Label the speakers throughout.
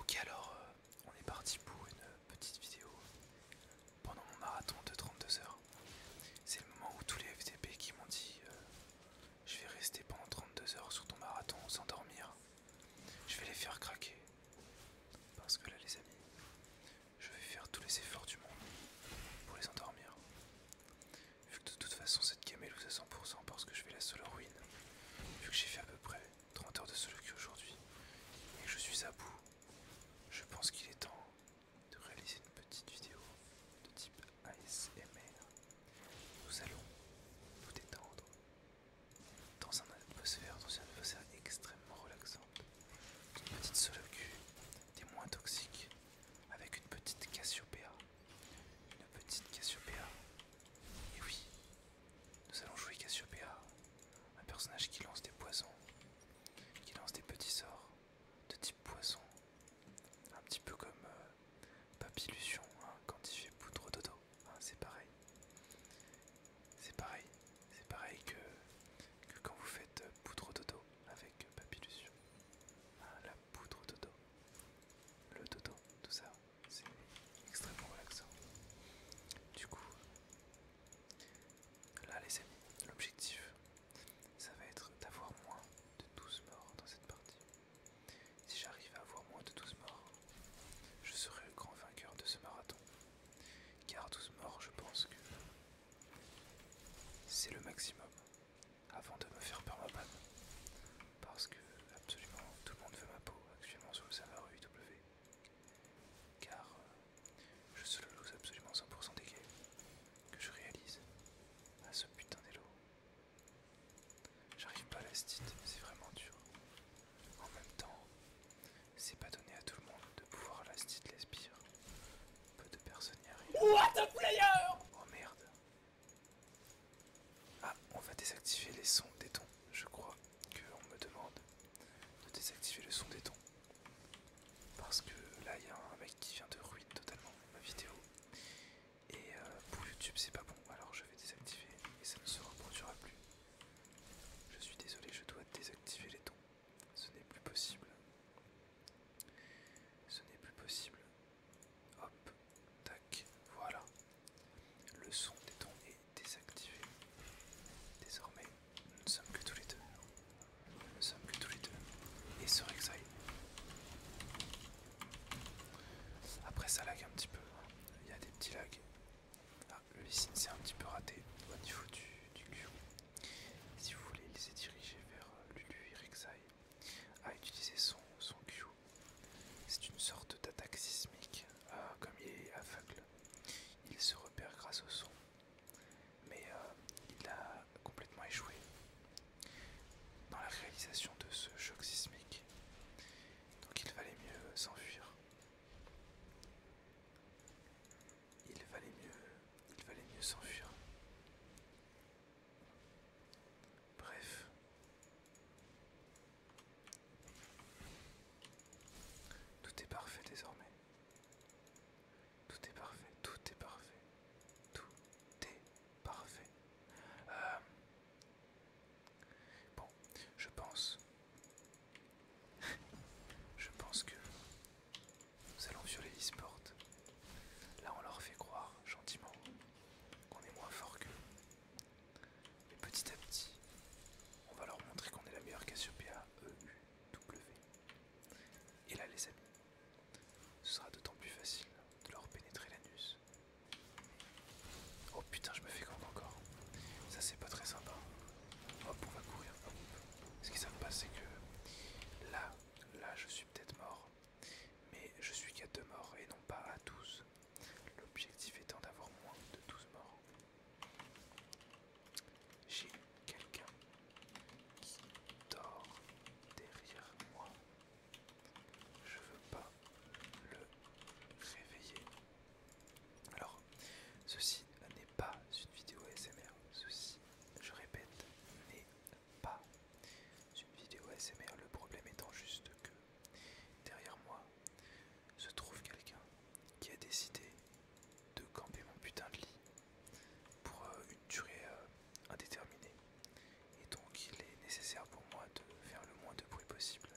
Speaker 1: Ok alors euh, on est parti pour une euh, petite vidéo pendant mon marathon de 32 heures. C'est le moment où tous les FTP qui m'ont dit euh, je vais rester pendant 32 heures sur ton marathon sans dormir. Je vais les faire craquer. Parce que là les amis, je vais faire tous les efforts du monde pour les endormir. Vu que de toute façon cette camélouse est à 100% parce que je vais la solo ruine Vu que j'ai fait à peu près 30 heures de solo queue aujourd'hui et que je suis à bout, je pense qu'il est temps de réaliser une petite vidéo de type ASMR. Nous allons nous détendre dans un atmosphère, dans une atmosphère extrêmement relaxante. Une petite solo queue des moins toxiques avec une petite Cassiopea. Une petite Cassiopea. Et oui, nous allons jouer Cassiopea, un personnage qui lance des poisons, qui lance des petits sorts de type poisson, un petit peu comme euh, papy Papillution hein, quand il fait poudre dodo, hein, c'est pareil. C'est pareil, c'est pareil que, quand vous faites euh, poudre dodo avec euh, Papillution. Hein, ah, poudre au dodo. Le dodo, tout ça, c'est extrêmement relaxant. Du coup, là les amis, l'objectif, ça va être d'avoir moins de 12 morts dans cette partie. Si j'arrive à avoir moins de 12 morts, je serai le grand vainqueur de ce marathon. Car 12 morts, je pense que c'est le maximum avant de me faire peur ma même Parce que absolument tout le monde veut ma peau actuellement sur le serveur UW, Car euh, je suis lose absolument 100% des games que je réalise à ce putain d'élo. J'arrive pas à la c'est vraiment dur. En même temps, c'est pas donné à tout le monde de pouvoir la stit les peu de personnes
Speaker 2: y arrivent. What player
Speaker 1: Oh merde. Ah, on va désactiver les sons des tons. Je crois qu'on me demande de désactiver le son des tons. Parce que là, il y a un mec qui vient de ruiner totalement ma vidéo. Et euh, pour YouTube, c'est pas bon. Alors je vais désactiver et ça ne se reproduira plus. Je suis désolé, je dois désactiver les tons. Ce n'est plus possible. Ce n'est plus possible. Hop, tac, voilà. Le son des dons est désactivé. Désormais, nous ne sommes que tous les deux. Nous ne sommes que tous les deux. Et ce Rexaï. Après ça lag un petit peu. Il y a des petits lags. Ah, le s'est un petit peu raté au niveau du, du si vous voulez, il s'est dirigé vers euh, Lulu Irixai a utilisé son, son Q. C'est une sorte d'attaque sismique, euh, comme il est aveugle. Il se repère grâce au son, mais euh, il a complètement échoué dans la réalisation de ce choc sismique. Donc il valait mieux s'enfuir il valait mieux, il valait mieux s'enfuir. Bref, tout est parfait désormais. Tout est parfait, tout est parfait, tout est parfait. Euh, bon, je pense, je pense que nous allons sur les e Là, on leur fait croire gentiment qu'on est moins fort qu'eux. Mais petit à petit, on va leur montrer qu'on est la meilleure e U W. Et là, les amis, ce sera d'autant plus facile de leur pénétrer l'anus. Oh putain, je me fais gang encore. Ça, c'est pas très sympa. Hop, on va courir. Ce qui se passe c'est que là, Là, je suis peut-être mort, mais je suis qu'à deux morts et non pas à 12. L'objectif étant d'avoir moins de 12 morts. J'ai quelqu'un qui dort derrière moi. Je veux pas le réveiller. Alors, ceci n'est pas une vidéo ASMR. Ceci, je répète, n'est pas une vidéo ASMR. Le problème étant juste que derrière moi se trouve quelqu'un qui a décidé de camper mon putain de lit pour euh, une durée euh, indéterminée. Et donc il est nécessaire pour moi de faire le moins de bruit possible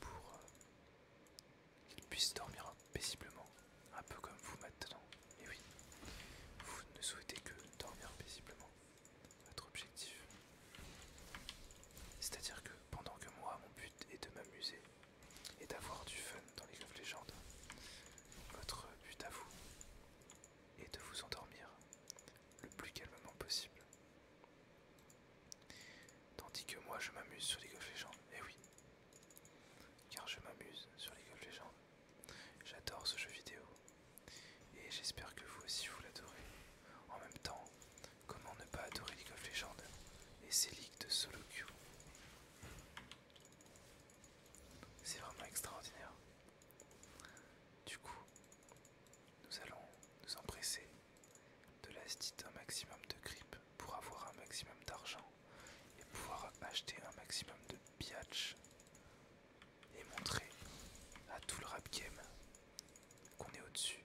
Speaker 1: pour euh, qu'il puisse dormir paisiblement un peu comme vous maintenant, et oui. Vous ne souhaitez que dormir paisiblement. Votre objectif. C'est-à-dire que pendant que moi, mon but est de m'amuser et d'avoir du fun dans les of Legends, votre but à vous est de vous endormir le plus calmement possible. Tandis que moi je m'amuse sur les of Legends, et eh oui, car je m'amuse sur les of Legends, J'adore ce jeu vidéo et j'espère que vous aussi vous l'adorez. En même temps, comment ne pas adorer League of Legends et ses ligues de solo C'est vraiment extraordinaire. Du coup, nous allons nous empresser de la un maximum de grippe pour avoir un maximum d'argent et pouvoir acheter un maximum de biatch et montrer à tout le rap game qu'on est au-dessus.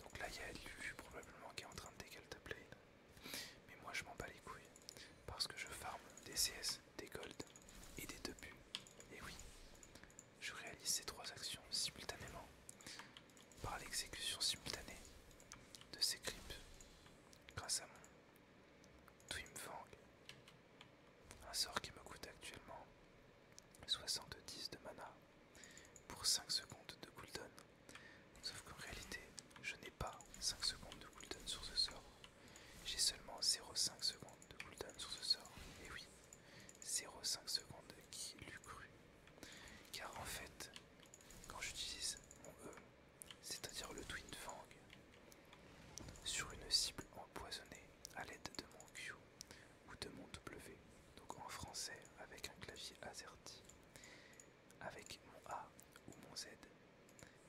Speaker 1: Donc là il y a Lulu probablement qui est en train de décaler play. Mais moi je m'en bats les couilles parce que je farme des CS, des golds et des deux Et oui, je réalise ces trois actions simultanément par l'exécution simultanée de ces clips grâce à mon Dreamfang. Un sort qui me coûte actuellement 70 de mana pour 5 secondes de cooldown. Sauf qu'en réalité, je n'ai pas 5 secondes de cooldown sur ce sort. J'ai seulement 0,5 secondes de cooldown sur ce sort. Et oui, 0,5 secondes qui l'eût cru. Car en fait, quand j'utilise mon E, c'est-à-dire le Twin Fang, sur une cible empoisonnée à l'aide de mon Q ou de mon W, donc en français avec un clavier AZERTY, avec mon A ou mon Z, et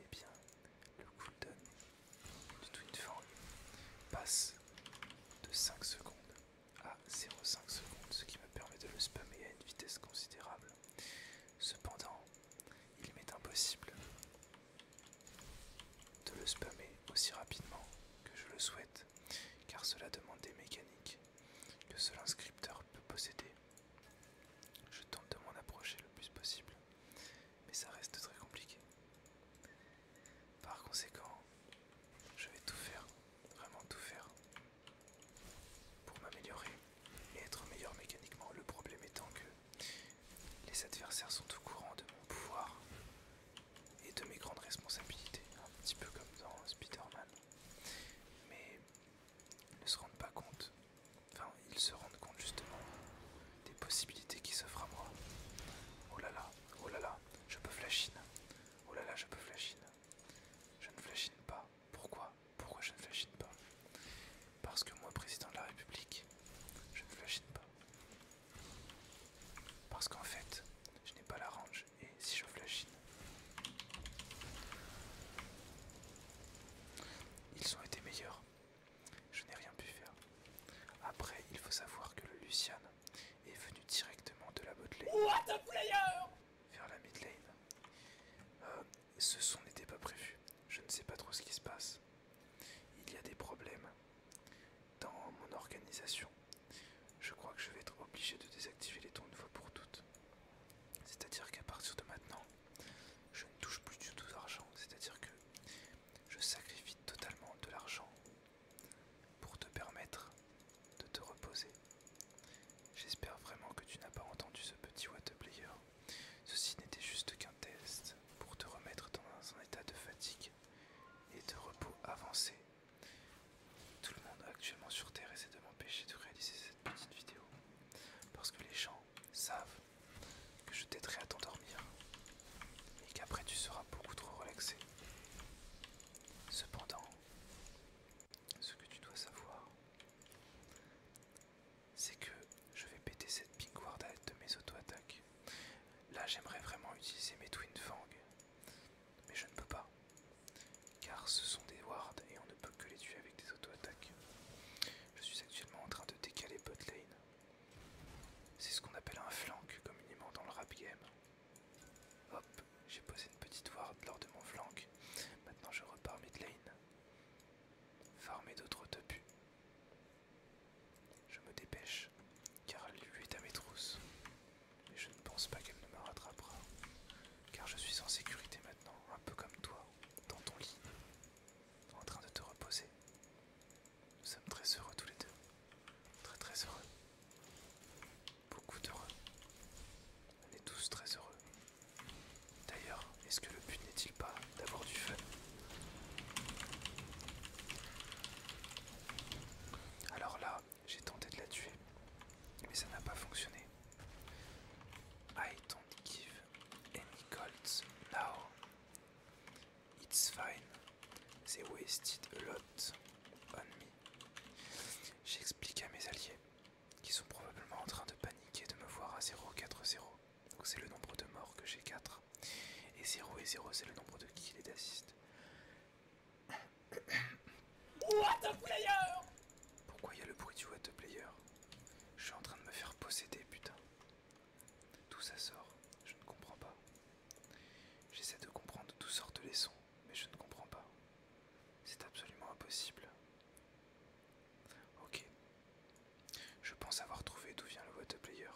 Speaker 1: eh bien le cooldown du Twin Fang passe de 5 secondes à 0,5 secondes, ce qui me permet de le spammer à une vitesse considérable Cependant, il m'est impossible de le spammer aussi rapidement que je le souhaite, car cela demande des mécaniques que seul un scripteur peut posséder. Je tente de m'en approcher le plus possible, mais ça reste très compliqué. Par conséquent, je vais tout faire, vraiment tout faire, pour m'améliorer et être meilleur mécaniquement. Le problème étant que les adversaires sont au courant de mon pouvoir et de mes grandes responsabilités, un petit peu comme dans Spider-Man, mais ils ne se rendent pas compte, enfin ils se rendent compte justement des possibilités qui s'offrent à moi. Oh là là, oh là là, je peux flashine, oh là là, je peux flashine, je ne flashine pas, pourquoi pourquoi je ne flashine pas Parce que moi, président de la République, je ne flashine pas. Parce qu'en fait, je n'ai pas la range et si je flashine, ils ont été meilleurs. Je n'ai rien pu faire. Après, il faut savoir que le Lucian est venu directement de la botlane. What a player Vers la midlane. Euh, ce son n'était pas prévu. Je ne sais pas trop ce qui se passe. Il y a des problèmes dans mon organisation. Je crois que je vais être obligé de désactiver les tons de fois pour toutes. C'est-à-dire qu'à partir de maintenant, je ne touche plus du tout d'argent. C'est-à-dire que je sacrifie totalement de l'argent pour te permettre de te reposer. J'espère vraiment que tu n'as pas entendu ce petit watt player. Ceci n'était juste qu'un test pour te remettre dans un état de fatigue et de repos avancé. Tout le monde actuellement sur Terre essaie de m'empêcher de réaliser cette petite vidéo. Parce que les gens savent que je t'aiderai à t'endormir et qu'après tu seras beaucoup trop relaxé. Cependant, ce que tu dois savoir, c'est que je vais péter cette pink l'aide de mes auto-attaques. Là, j'aimerais vraiment utiliser mes Twin Fang, mais je ne peux pas, car ce sont des wards et on ne peut que les tuer avec des auto-attaques. Je suis actuellement en train de décaler bot lane. C'est ce qu'on appelle un flank communément dans le rap game. Hop, j'ai posé une petite ward lors de mon flank. Maintenant je repars mid lane. Farmer d'autres topus. Je me dépêche, car lui est à mes trousses. Et je ne pense pas qu'elle ne me rattrapera. Car je suis en sécurité maintenant, un peu comme toi, dans ton lit, en train de te reposer. Nous sommes très heureux tous les deux. Très très heureux beaucoup d'heureux. On est tous très heureux. D'ailleurs, est-ce que le but n'est-il pas d'avoir du feu Alors là, j'ai tenté de la tuer, mais ça n'a pas fonctionné. I don't give any golds now. It's fine. They wasted a lot on me. J'explique à mes alliés qui sont probablement en train de paniquer de me voir à 0, 0. Donc c'est le nombre de morts que j'ai 4. Et 0 et 0 c'est le nombre de kills et d'assists. What a player Pourquoi il y a le bruit du what a player Je suis en train de me faire posséder putain. D'où ça sort Je ne comprends pas. J'essaie de comprendre d'où sortent les sons mais je ne comprends pas. C'est absolument impossible. Ok. Je pense avoir trouvé d'où vient le waterplayer.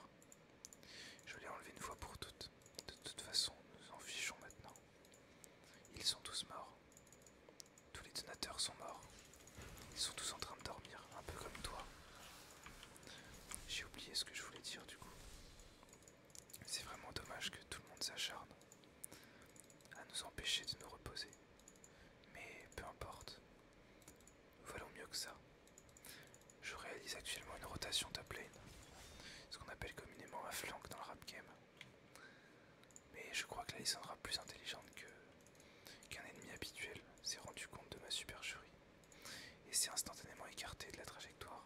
Speaker 1: Je l'ai enlevé une fois pour toutes. De toute façon, nous en fichons maintenant. Ils sont tous morts. Tous les donateurs sont morts. Ils sont tous en train de dormir, un peu comme toi. J'ai oublié ce que je voulais dire du coup. C'est vraiment dommage que tout le monde s'acharne à nous empêcher de nous reposer. Mais peu importe, Voilà mieux que ça. Je réalise actuellement une rotation top lane, ce qu'on appelle communément un flank dans le rap game. Mais je crois que la est plus intelligente qu'un ennemi habituel s'est rendu compte de ma supercherie et s'est instantanément écarté de la trajectoire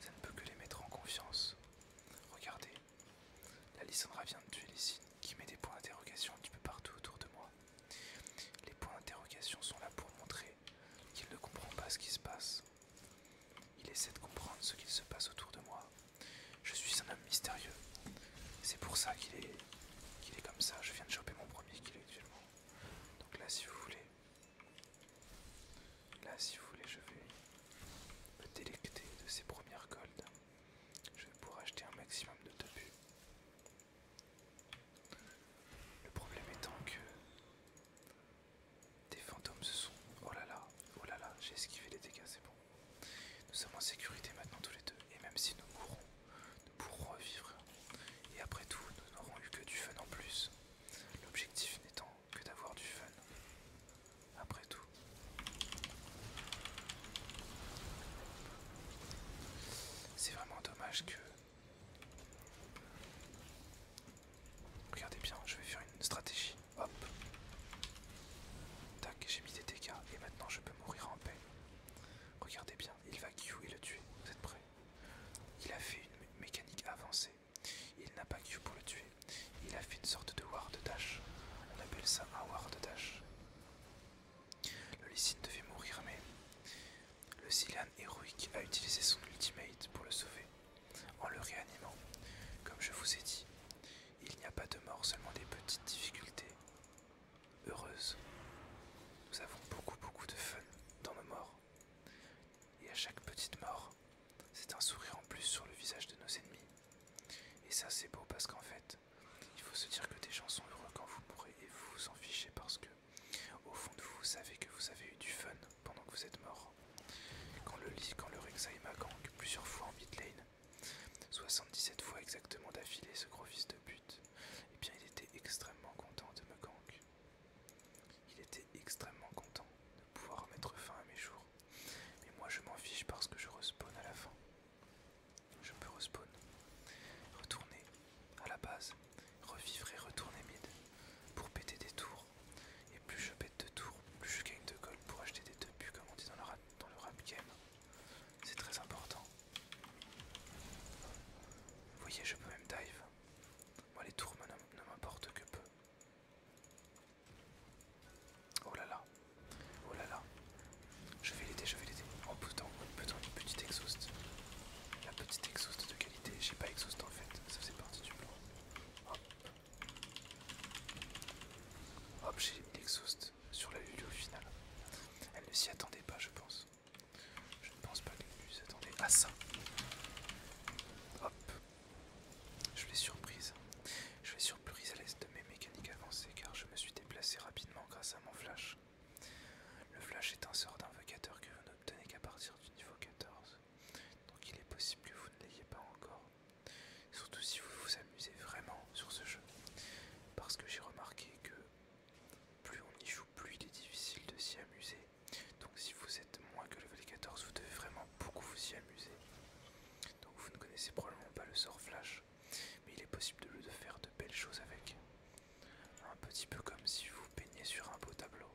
Speaker 1: ça ne peut que les mettre en confiance. Regardez, la Lissandra vient de tuer les qui met des points d'interrogation un petit peu partout autour de moi. Les points d'interrogation sont là pour montrer qu'il ne comprend pas ce qui se passe. Il essaie de comprendre ce qu'il se passe autour de moi. Je suis un homme mystérieux. C'est pour ça qu'il est, qu'il est comme ça. Je viens de choper mon premier kill actuellement. Donc là, si vous voulez, Là, si vous voulez, je vais me délecter de ces premières golds. Je vais pouvoir acheter un maximum de topus. Le problème étant que des fantômes se sont... Oh là là, oh là là, j'ai esquivé les dégâts, c'est bon. Nous sommes en sécurité maintenant tous les deux, et même si nous mourons, nous pourrons revivre. Et après tout, nous n'aurons eu que du fun en plus. L'objectif n'étant que d'avoir du fun. Après tout. C'est vraiment dommage que... Regardez bien, je vais faire une stratégie. Hop. Tac, j'ai mis des dégâts et maintenant je peux mourir en paix. Regardez bien, il va Q et le tuer. Vous êtes prêts Il a fait une mécanique avancée il n'a pas que pour le tuer. Il a fait une sorte de ward dash. On appelle ça un ward dash. Le Lysine devait mourir, mais le Zylan héroïque a utilisé son ultimate pour le sauver, en le réanimant. Comme je vous ai dit, il n'y a pas de mort, seulement des petites difficultés heureuses. Nous avons beaucoup beaucoup de fun dans nos morts et à chaque petite mort, c'est un sourire en plus sur le visage de nos ennemis. Et ça c'est beau parce qu'en fait, il faut se dire que des gens sont heureux quand vous mourrez et vous vous en fichez parce que au fond de vous, vous savez que vous avez eu du fun pendant que vous êtes mort. Quand le lit, quand le Rek'Sai m'a gank plusieurs fois en mid-lane, 77 fois exactement d'affilée ce gros fils de pute, et eh bien il était extrêmement content de ma il était extrêmement content de pouvoir mettre fin à mes jours. Mais moi je m'en fiche parce que je respawn à la fin. Je peux respawn. Retourner à la base. Revivre et retourner mid. Pour péter des tours. Et plus je pète de tours, plus je gagne de gold pour acheter des deux buts comme on dit dans le dans le rap game. C'est très important. Vous voyez je peux même dive. Moi, les tours ne m'importe que peu. Oh là là, oh là là. Je vais l'aider, je vais l'aider. en oh, putain, une petite exhaust. La petite exhaust de qualité. J'ai pas exhaust en fait, ça faisait partie du plan. Hop, j'ai mis l'exhaust sur la lulu au final. Elle ne s'y attendait pas, je pense. Je ne pense pas que vous attendez à ça. Hop. Je l'ai surprise. Je l'ai surprise à l'aise de mes mécaniques avancées car je me suis déplacé rapidement grâce à mon flash. Le flash est un sort d'invocateur que vous n'obtenez qu'à partir du niveau 14. Donc il est possible que vous ne l'ayez pas encore. Surtout si vous vous amusez vraiment sur ce jeu. Parce que j'ai remarqué que plus on y joue, plus il est difficile de s'y amuser. Donc si vous êtes moins que le level 14, vous devez vraiment beaucoup vous y amuser. Donc vous ne connaissez probablement pas le sort Flash, mais il est possible de, faire de belles choses avec. Un petit peu comme si vous peignez sur un beau tableau.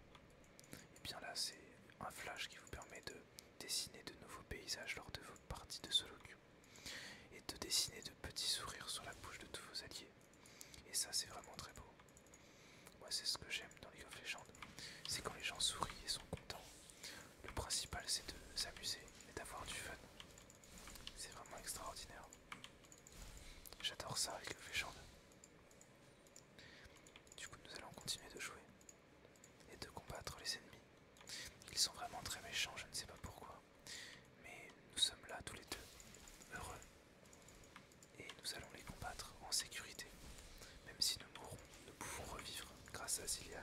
Speaker 1: Et bien là, c'est un Flash qui vous permet de dessiner de nouveaux paysages lors de vos parties de solo et de dessiner de petits sourires sur la bouche de tous vos alliés. Et ça, c'est vraiment très beau. Moi, c'est ce que j'aime dans League of Legends. C'est quand les gens sourient et sont contents. Le principal, c'est de s'amuser et d'avoir du fun. C'est vraiment extraordinaire. J'adore ça avec of Legends. Du coup, nous allons continuer de jouer et de combattre les ennemis. Ils sont vraiment très méchants, je ne sais pas pourquoi. Mais nous sommes là tous les deux, heureux et nous allons les combattre en sécurité. Même si nous mourrons, nous pouvons revivre grâce à Zilian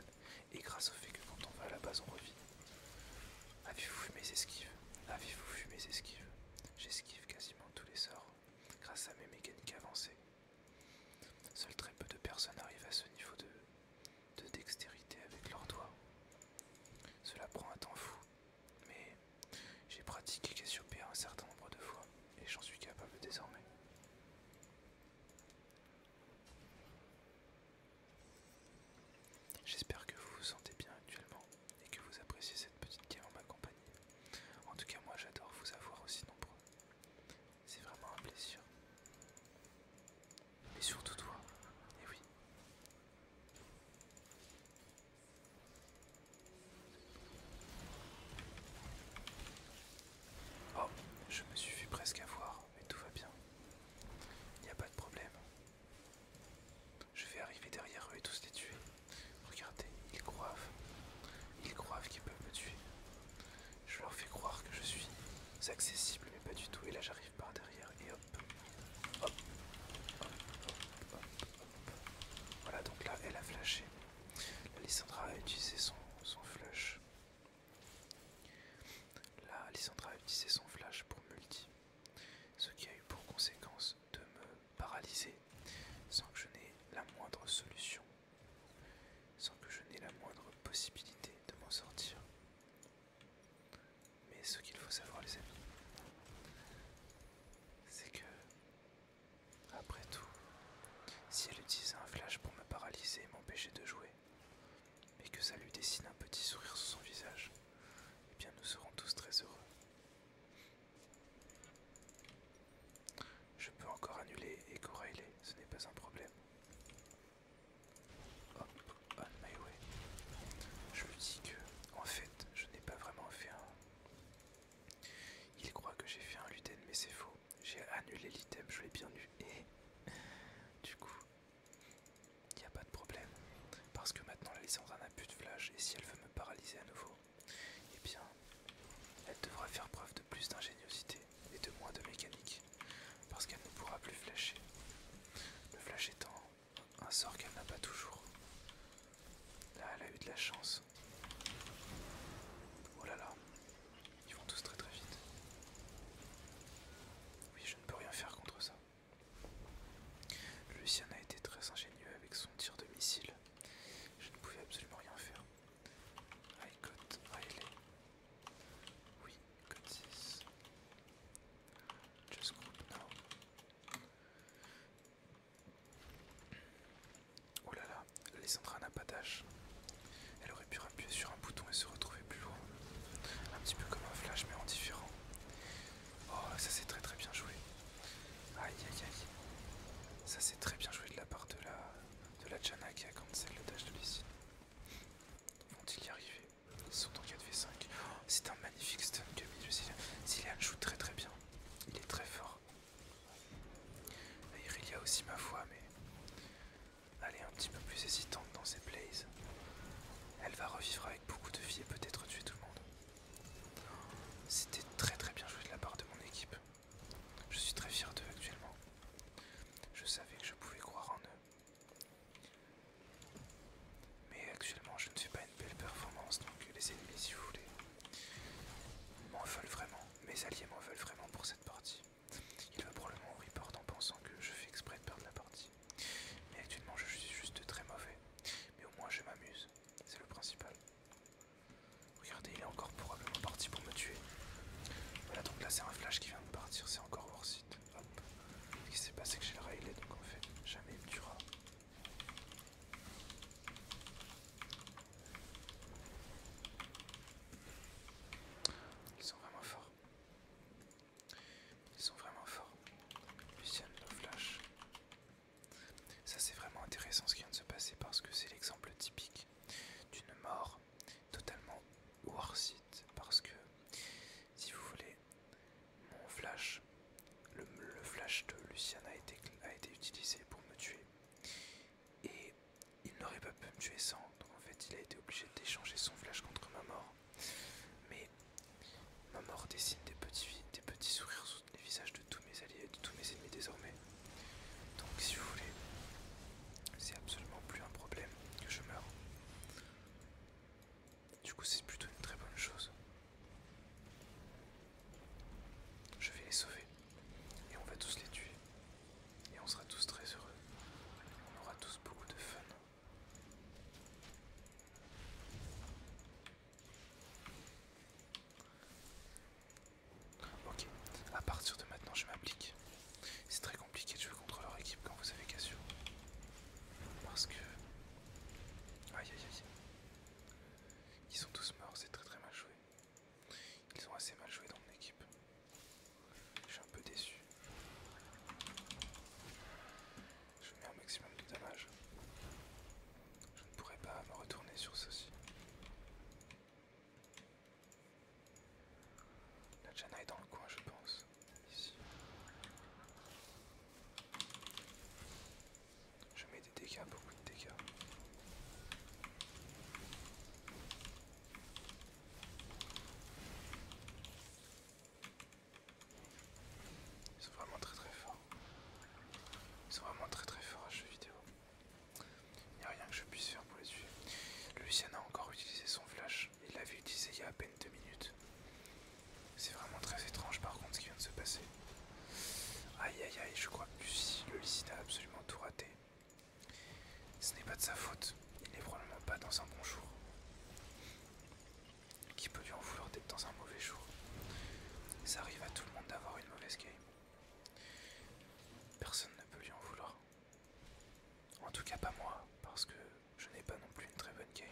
Speaker 1: et grâce au fait que quand on va à la base on revit. Avez-vous vu mes esquives Avez-vous vu mes esquives J'esquive quasiment tous les sorts grâce à mes mécaniques avancées. Seuls très peu de personnes arrivent à ce niveau de, de dextérité avec leurs doigts. Cela prend un temps fou mais j'ai pratiqué Cassiopeia un certain nombre de fois et j'en suis capable désormais. J'espère que vous vous sentez bien actuellement et que vous appréciez cette petite game en ma compagnie. En tout cas, moi j'adore vous avoir aussi nombreux. C'est vraiment un plaisir. Et surtout toi, et oui. Oh, je me suis fait presque avoir, mais tout va bien. Il n'y a pas de problème. Je vais arriver derrière eux et tous les tuer. Regardez, ils croivent. Ils croivent qu'ils peuvent me tuer. Je leur fais croire que je suis accessible, mais pas du tout. Et là, j'arrive par derrière et voilà, donc là, elle a flashé. La a utilisé son, son flash. Là, a utilisé son flash pour multi. Ce qui a eu pour conséquence de me paralyser sans que je n'ai la moindre solution, sans que je n'ai la moindre possibilité de m'en sortir. Mais ce qu'il faut savoir les amis, c'est que après tout, si elle utilise un flash pour me paralyser et m'empêcher de jouer, et que ça lui dessine un petit sourire sur son visage, et eh bien nous serons tous très heureux. Je peux encore annuler et corréler, ce n'est pas un problème. Hop, on my way. Je lui dis que en fait, je n'ai pas vraiment fait un... Il croit que j'ai fait un luten, mais c'est faux. J'ai annulé l'item, je l'ai bien eu. Et du coup, il n'y a pas de problème. Parce que maintenant, la licence n'a plus de flash. Et si elle veut me paralyser à nouveau, eh bien, elle devra faire preuve de plus d'ingéniosité et de moins de mécanique. Parce qu'elle ne pourra plus flasher. Le flash étant un sort qu'elle n'a pas toujours. Là, elle a eu de la chance. Oh là là. Ils vont tous très très vite. Oui, je ne peux rien faire contre ça. Lucien a été très ingénieux avec son tir de missile. Je ne pouvais absolument rien faire. Ah, I Riley. Oui, cut 6. Just group now. Oh là là, Lysandra n'a pas d'âge. Elle aurait pu appuyer sur un bouton et se retrouver plus haut. Un petit peu comme un flash mais en différent. Oh, ça c'est très très bien joué. Aïe aïe aïe. Ça c'est très bien joué de la part de la, de la Jana qui a cancel le dash de Lysine. Vont-ils y arriver sont en 4v5. C'est un magnifique stun que Zillian joue très très bien. Il est très fort. a aussi ma foi, mais elle est un petit peu plus hésitante dans ses plays. Elle va revivre avec beaucoup de vie et peut-être tuer tout le monde. C'était très très bien joué de la part de mon équipe. Je suis très fier d'eux actuellement. Je savais que je pouvais croire en eux. Mais actuellement, je ne fais pas une belle performance, donc les ennemis, si vous voulez, m'en veulent vraiment. Mes alliés m'en veulent vraiment pour cette partie. Il va probablement report en pensant que je fais exprès de perdre la partie. Mais actuellement, je suis juste très mauvais. Mais au moins, je m'amuse. C'est le principal. Regardez, il est encore probablement parti pour me tuer. Voilà, donc là, c'est un flash qui vient de partir. C'est encore hors site. Hop. Ce qui s'est passé que j'ai le Rayleigh donc en fait, jamais il me tuera. Ils sont vraiment forts. Ils sont vraiment forts. Lucien, le flash. Ça c'est vraiment intéressant ce qui vient de se passer parce que c'est l'exemple typique d'une mort totalement worth parce que si vous voulez mon flash, le, flash de Lucien a été, utilisé pour me tuer. Et il n'aurait pas pu me tuer sans, donc en fait il a été obligé d'échanger son flash contre ma mort. Mais ma mort dessine des petits, des petits sourires sur les visages de tous mes alliés et de tous mes ennemis désormais. Donc si vous voulez, c'est absolument plus un problème que je meure. Du coup, c'est plutôt une très bonne chose. Je vais les sauver. Et on va tous les tuer. Et on sera tous très heureux. On aura tous beaucoup de fun. Ok, à partir de maintenant je m'applique. C'est très compliqué de jouer contre leur équipe quand vous avez Cassio. Parce que Aïe aïe aïe. Ils sont tous morts, c'est très très mal joué. Ils ont assez mal joué dans mon équipe. Je suis un peu déçu. Je mets un maximum de dommages. Je ne pourrais pas me retourner sur ceci. La Jana est dans le coin, je pense. Je mets des dégâts, beaucoup de dégâts. Ils sont vraiment très très forts. Ils sont vraiment très très forts à jeu vidéo. Il n'y a rien que je puisse faire pour les tuer. Lucien a encore utilisé son flash. Il l'avait utilisé il y a à peine deux minutes. C'est vraiment très étrange par contre ce qui vient de se passer. Aïe aïe aïe, je crois que le lycée a absolument tout raté. Ce n'est pas de sa faute, il n'est probablement pas dans un bon jour. Qui peut lui en vouloir d'être dans un mauvais jour Ça arrive à tout le monde d'avoir une mauvaise game. Personne ne peut lui en vouloir. En tout cas pas moi, parce que je n'ai pas non plus une très bonne game.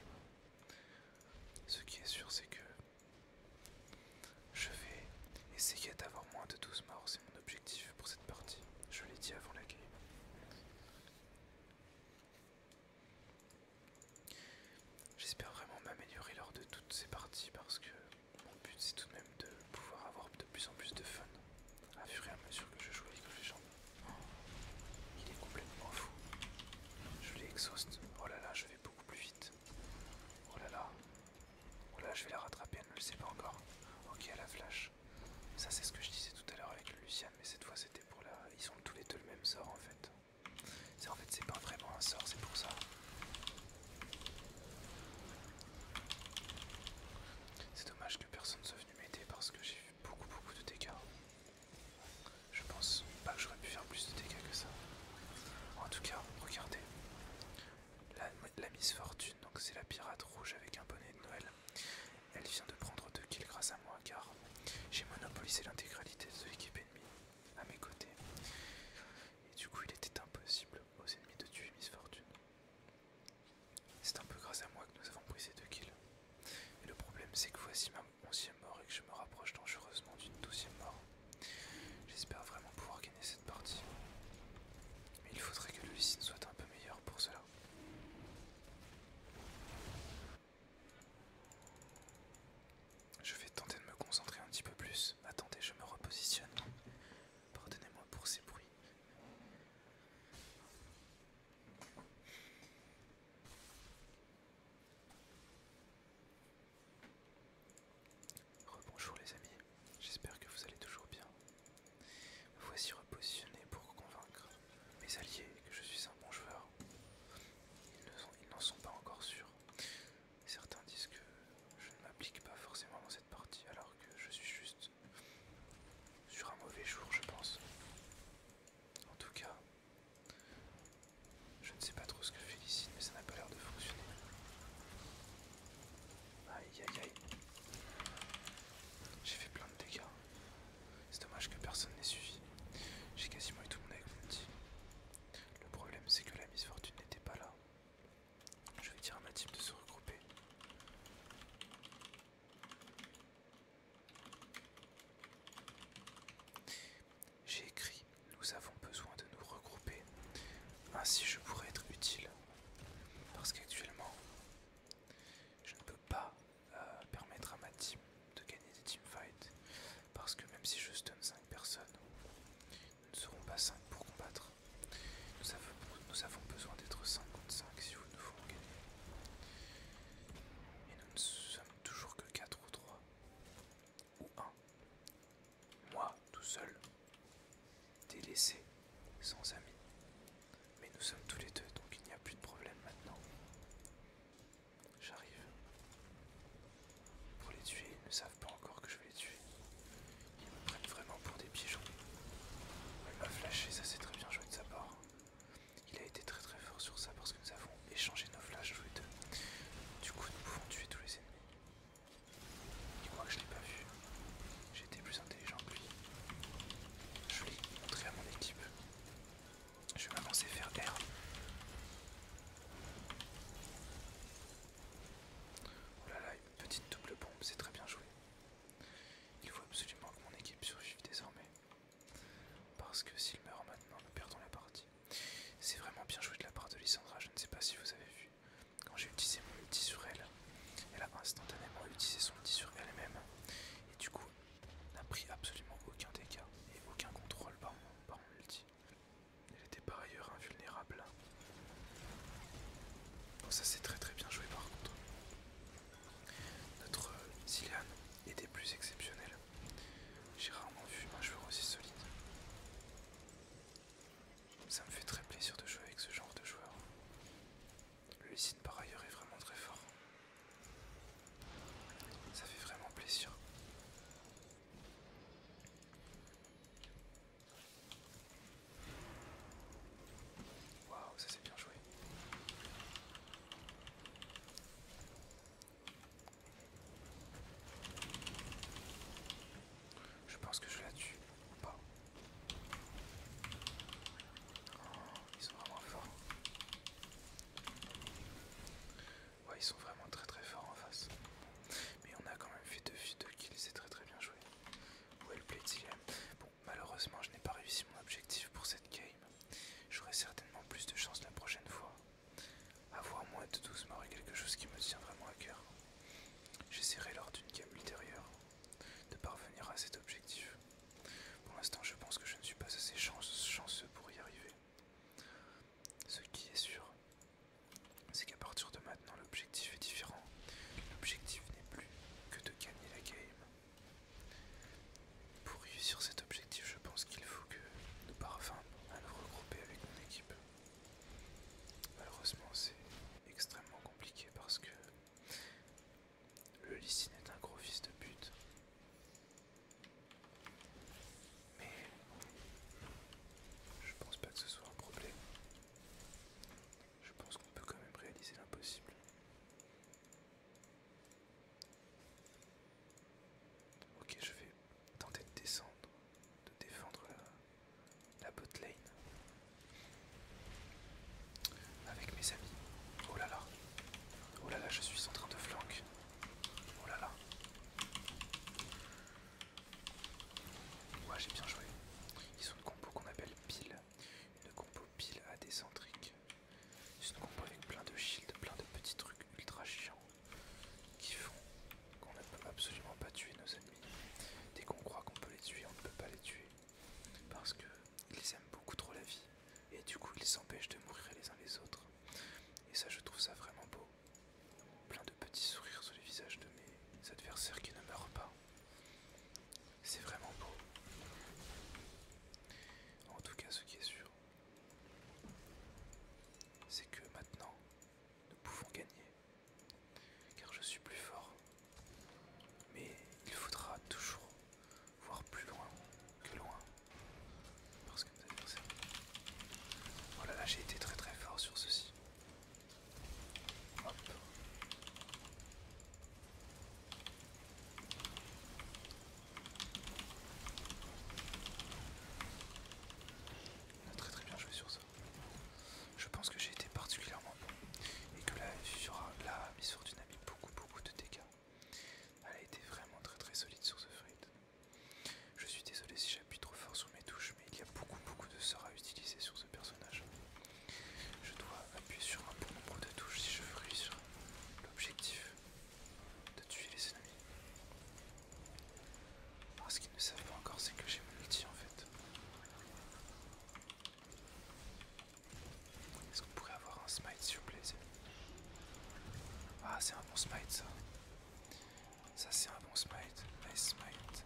Speaker 1: Ce qui est sûr, c'est que je vais essayer d'avoir moins de 12 morts, c'est mon objectif pour cette partie. Je l'ai dit avant la game. J'espère vraiment m'améliorer lors de toutes ces parties parce que mon but c'est tout de même de pouvoir avoir de plus en plus de fun à fur et à mesure que je joue avec les gens. Il est complètement fou. Je l'exhauste. Oh là là, je vais beaucoup plus vite. Oh là là. Oh là, je vais la rattraper, elle ne le sait pas encore. Ok, à a flash. Ça, c'est ce que je disais tout à l'heure avec Lucien, mais cette fois c'était pour la. Ils ont tous les deux le même sort en fait. en fait, c'est pas vraiment un sort, c'est pour ça. C'est dommage que personne soit venu m'aider parce que j'ai eu beaucoup beaucoup de dégâts. Je pense pas que j'aurais pu faire plus de dégâts que ça. En tout cas, regardez. La, Miss Fortune, donc c'est la pirate rouge avec un bonnet de Noël. Elle vient de prendre deux kills grâce à moi car j'ai monopolisé l'intégralité de l'équipe ennemie à mes côtés. Et du coup il était impossible aux ennemis de tuer Miss Fortune. C'est un peu grâce à moi que nous avons pris ces deux kills. Et le problème, c'est que voici ma onzième mort et que je me rapproche dangereusement d'une douzième mort. J'espère vraiment pouvoir gagner cette partie. Mais il faudrait que le Lucine soit un peu meilleur pour cela. Je vais tenter de me concentrer un petit peu plus. Attendez, je me repositionne. Pardonnez-moi pour ces bruits. Rebonjour les amis, j'espère que vous allez toujours bien. voici repositionné pour convaincre mes alliés que je suis un bon joueur. Ils n'en sont pas encore sûrs. Certains disent que je ne m'applique pas forcément dans cette partie alors que je suis juste sur un mauvais jour je pense. En tout cas, je ne sais pas trop ce que je fais ici, mais ça n'a pas l'air de fonctionner. Aïe aïe aïe. J'ai fait plein de dégâts. C'est dommage que personne n'ait suivi. J'ai quasiment eu tout mon avec mon petit. Le problème c'est que la misfortune n'était pas là. Je vais dire à ma team de se regrouper. J'ai écrit, nous avons besoin de nous regrouper. Ainsi je pourrais être utile. Parce qu'actuellement, je ne peux pas euh, permettre à ma team de gagner des teamfights. Parce que même si je stun 5 personnes, nous ne serons pas 5 pour combattre. Nous avons, nous avons besoin d'être 5 contre 5 si nous voulons gagner. Et nous ne sommes toujours que 4 ou 3. Ou 1. Moi, tout seul. Délaissé. Sans amis. Mais nous sommes tous les deux, donc il n'y a plus de problème maintenant. J'arrive. Pour les tuer, ils ne savent pas encore que je vais les tuer. Ils me prennent vraiment pour des pigeons. Elle m'a flashé, ça c'est très bien joué de sa part. Il a été très très fort sur ça parce que nous avons échangé nos flashs tous Du coup, nous pouvons tuer tous les ennemis. Il croit que je l'ai pas vu. J'étais plus intelligent que lui. Je l'ai montré à mon équipe. Je vais m'avancer faire R. Oh là là, une petite double bombe, c'est très bien joué. Il faut absolument que mon équipe survive désormais. Parce que s'il meurt maintenant, nous perdons la partie. C'est vraiment bien joué de la part de Lissandra, je ne sais pas si vous avez vu. Quand j'ai utilisé mon ulti sur elle, elle a instantanément utilisé son ulti sur elle-même. Et du coup, elle n'a pris absolument aucun dégât et aucun contrôle par par mon ulti. Elle était par ailleurs invulnérable. Bon ça c'est très très bien joué par contre. Notre est euh, était plus exceptionnel. J'ai rarement vu un joueur aussi solide. Ça me fait très plaisir de jouer avec ce genre de joueur. Le signe par ailleurs est vraiment très fort. Ça fait vraiment plaisir. Waouh, ça s'est bien joué. Je pense que je la tue ou pas. Oh, ils sont vraiment forts. Ouais, ils sont vraiment très très forts en face. Mais on a quand même fait deux filles de les a très très bien joué. Well played, Bon, Malheureusement, je n'ai pas réussi mon objectif pour cette game. J'aurai certainement plus de chance la prochaine fois. Avoir moins de 12 morts quelque chose qui me tient vraiment à cœur. J'essaierai lors d'une game ultérieure de parvenir à cet objectif. Pour l'instant, je pense que je ne suis pas assez chanceux pour y arriver. Ce qui est sûr, c'est qu'à partir de maintenant, l'objectif est différent. L'objectif n'est plus que de gagner la game, pour réussir cet objectif, je pense qu'il faut que nous parvenions à nous regrouper avec mon équipe. Malheureusement, c'est extrêmement compliqué parce que le Lycine est un gros fils de pute. Mais je pense pas que ce soit un problème. Je pense qu'on peut quand même réaliser l'impossible. Ok, je vais tenter de descendre, de défendre la, botlane lane avec mes amis. Oh là là, oh là là, je suis en train de flanquer, Oh là là. Ouais, j'ai bien joué. Ils sont de combo qu'on appelle pile. Une compo pile à décentrique, C'est une compo avec plein de shields, plein de petits trucs ultra chiants qui font qu'on ne peut absolument pas tuer nos ennemis. Dès qu'on croit qu'on peut les tuer, on ne peut pas les tuer. Parce que ils aiment beaucoup trop la vie. Et du coup ils s'empêchent de mourir les uns les autres. Et ça je trouve ça vraiment beau. Plein de petits sourires sur les visages de mes adversaires qui ne meurent pas. C'est vraiment beau. En tout cas, ce qui est sûr, c'est que maintenant, nous pouvons gagner. Car je suis plus fort. Mais il faudra toujours voir plus loin que loin. Parce que oh là là, j'ai été très très fort sur ceci. Hop. On ah, a très très bien joué sur ça. Je pense que j'ai été particulièrement bon et que la Miss Fortune a mis beaucoup beaucoup de dégâts. Elle a été vraiment très très solide sur ce Freight. Je suis désolé si j'appuie trop fort sur mes touches, mais il y a beaucoup beaucoup de sorts à utiliser sur ce personnage. Je dois appuyer sur un bon nombre de touches si je veux réussir l'objectif de tuer les ennemis. ce qu'ils ne savent pas encore, c'est que j'ai mon outil en fait. Est-ce qu'on pourrait avoir un smite s'il vous plaît Ah, c'est un bon smite ça. Ça, c'est un bon smite. Nice smite.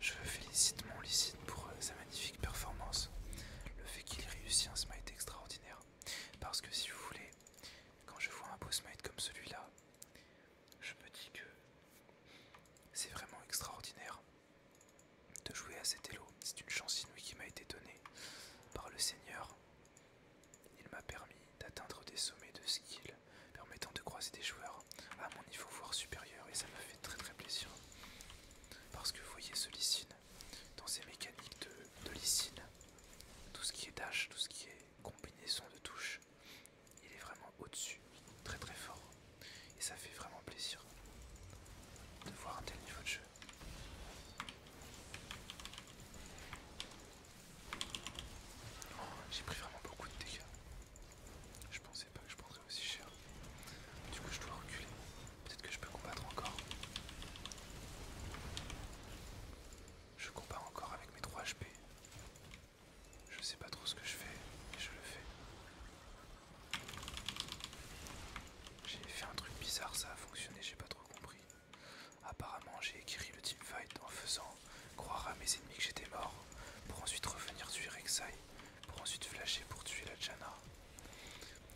Speaker 1: Je félicite mon licite pour euh, sa magnifique performance. Le fait qu'il réussit un smite extraordinaire. Parce que si vous voulez, quand je vois un beau smite comme celui-là, je me dis que c'est vraiment extraordinaire de jouer à cet elo. C'est une chance inouïe qui m'a été donnée par le Seigneur. Il m'a permis d'atteindre des sommets de skill permettant de croiser des joueurs à mon niveau voire supérieur et ça me fait très très plaisir parce que vous voyez ce Licine, dans ses mécaniques de, de tout ce qui est dash, tout ce qui est combinaison de touches, il est vraiment au-dessus, très très fort. Et ça fait vraiment plaisir de voir un tel niveau de jeu. Oh, j'ai pris vraiment beaucoup de dégâts. Je pensais je sais pas que je prendrais aussi cher. Du coup, je dois reculer. Peut-être que je peux combattre encore. Je combats encore avec mes 3 HP. Je sais pas trop ce que je fais, mais je le fais. J'ai fait un truc bizarre, ça a fonctionné, j'ai pas trop compris. Apparemment, j'ai écrit le teamfight en faisant croire à mes ennemis que j'étais mort pour ensuite revenir sur Exile pour ensuite flasher pour tuer la Jana.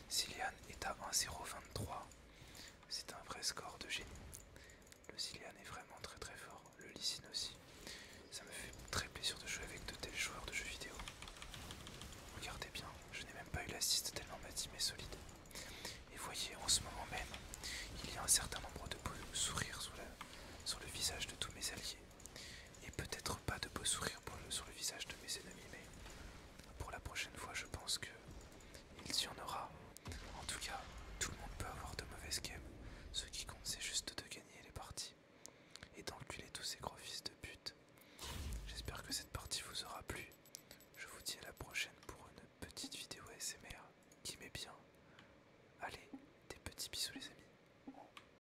Speaker 1: Cillian est à 1 C'est un vrai score de génie. Le Cillian est vraiment très très fort, le Lysine aussi. Ça me fait très plaisir de jouer avec de tels joueurs de jeux vidéo. Regardez bien, je n'ai même pas eu l'assist tellement ma team est solide. Et voyez, en ce moment même, il y a un certain nombre de sourires sur le visage de tous mes alliés. Et peut-être pas de beaux sourires pour sur le visage de mes ennemis, mais pour la prochaine fois, je pense qu'il y en aura. En tout cas, tout le monde peut avoir de mauvaises games. Ce qui compte, c'est juste de gagner les parties et d'enculer tous ces gros fils de pute. J'espère que cette partie vous aura plu. Je vous dis à la prochaine pour une petite vidéo ASMR qui m'est bien. Allez, des petits bisous les amis.